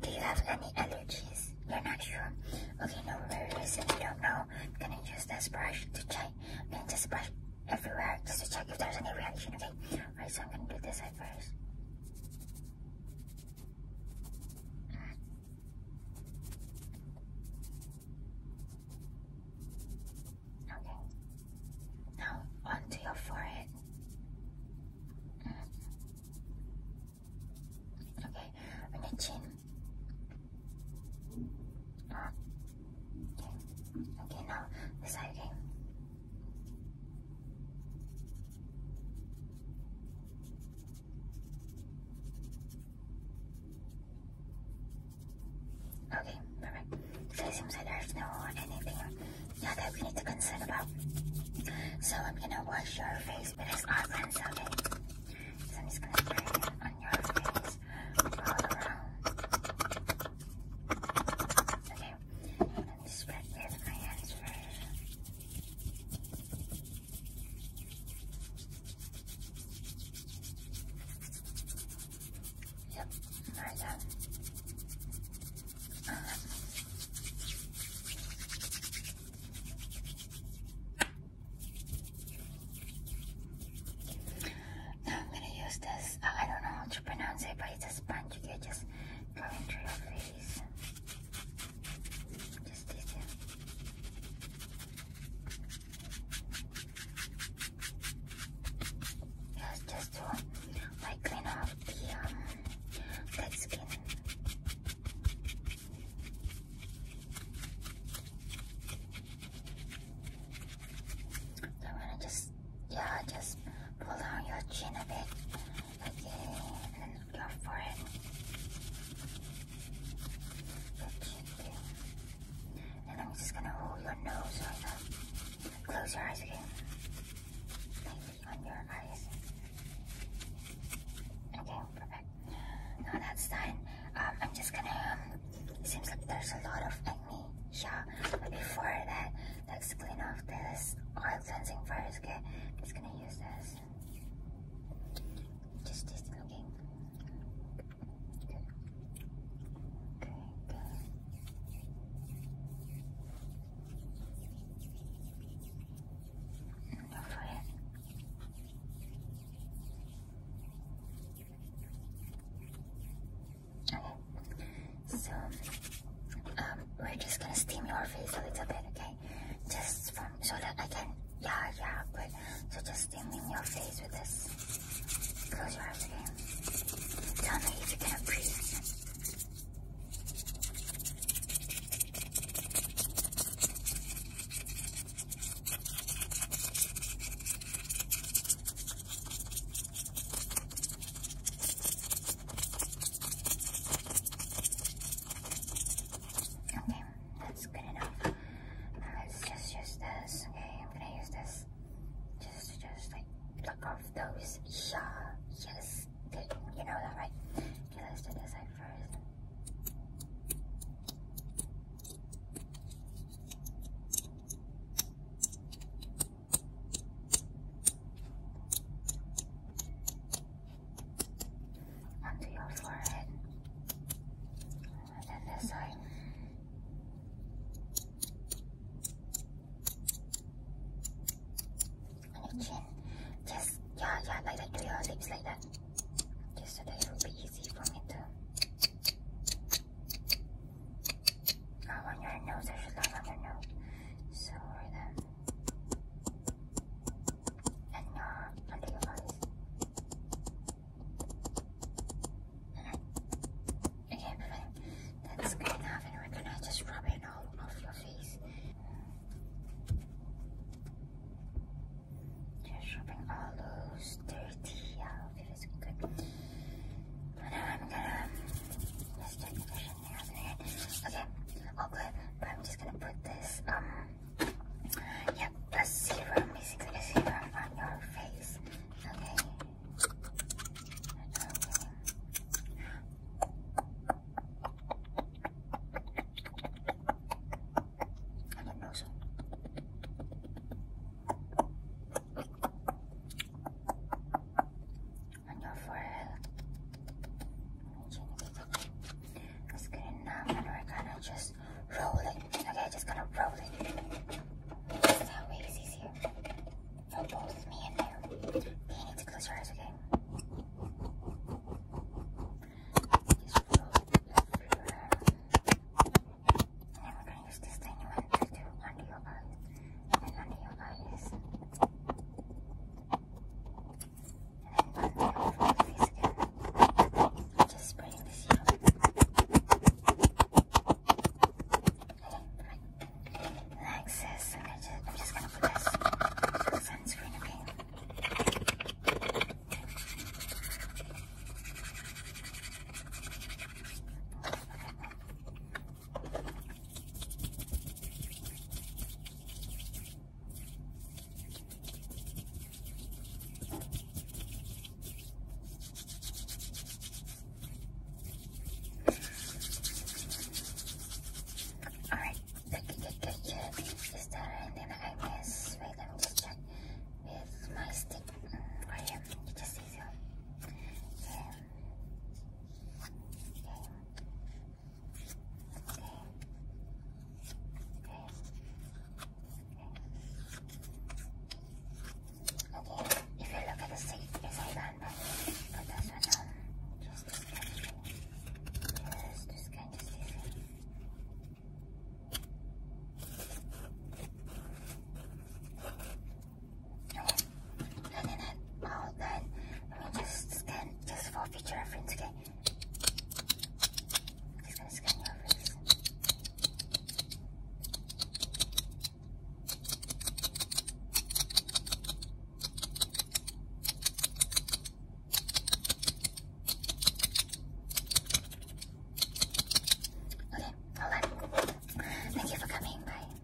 Do you have any allergies? You're not sure? Okay, no worries. if you don't know, I'm gonna use this brush to check. I'm gonna just brush everywhere just to check if there's any reaction, okay? Alright, so I'm gonna do this side first. Okay. Now onto your forehead. Mm-hmm. Okay, and then chin. Ah. Okay. Okay, now this side again. Okay, perfect. So it seems like there's no anything yeah, that we need to concern about. So I'm um, gonna wash your face with this hot lens, okay? So I'm just gonna spray it on your face all around. Okay, let spread with my hands first. Yep, right done. Now I'm gonna use this. Uh, I don't know how to pronounce it, but it's a sponge. You can just go into your face. Just this just to, by I clean up the um, dead skin. I'm gonna just, yeah, just pull down your chin a bit, okay, and then your forehead. And I'm just gonna hold your nose over. Close your eyes again. Lightly on your eyes. Okay, perfect. Now that's done. Um, I'm just gonna. Um, seems like there's a lot of acne. Yeah, but before that, let's clean off this oil cleansing first. Okay, just gonna use this. Just this, okay. Okay, good. Okay, so um, we're just gonna steam your face a little bit, okay? Just from so that I can, yeah, yeah, good. So just just in your face with this. Close your eyes again. Tell me if you can breathe. Okay, that's good enough let's just use this. Okay, I'm gonna use this. Just, just like look off those. Yeah, yes. you know that, right? Okay, let's do this side first. Onto your forehead. And then this On your chin. Just, yeah, yeah, like that. Do your lips like that. Just so that it will be easy for me to. on your nose, I should love on your nose. So, right there. And your, under your eyes. Okay, That's good enough. And we're gonna just rub it all off your face. Just rubbing all those dirty out of it is good. I'm gonna let's the conditioner out of Okay, But I'm just gonna put this um Yep, a serum, basically a serum on your face. Okay. I don't know so. On your forehead. It's getting numb and we're gonna just roll it. Okay, just gonna roll it. how easy is here. For both me and you. You need to close your eyes, okay? And then we're gonna use this tiny one to do under your eye. And then under your eyes. I'm just spraying the serum. Okay, relaxes. And I just, I'm just gonna put this sunscreen, okay? Okay. Alright, thank you, thank you, Is there I miss? Wait, let me with my stick. Um, right just says Okay, if you look at the seat, it's a random, but that's not just this thing. Yes, this kind of thing. And then that all done. Let just scan just for future reference, okay? just gonna scan your face. Okay, all right. Thank you for coming. Bye.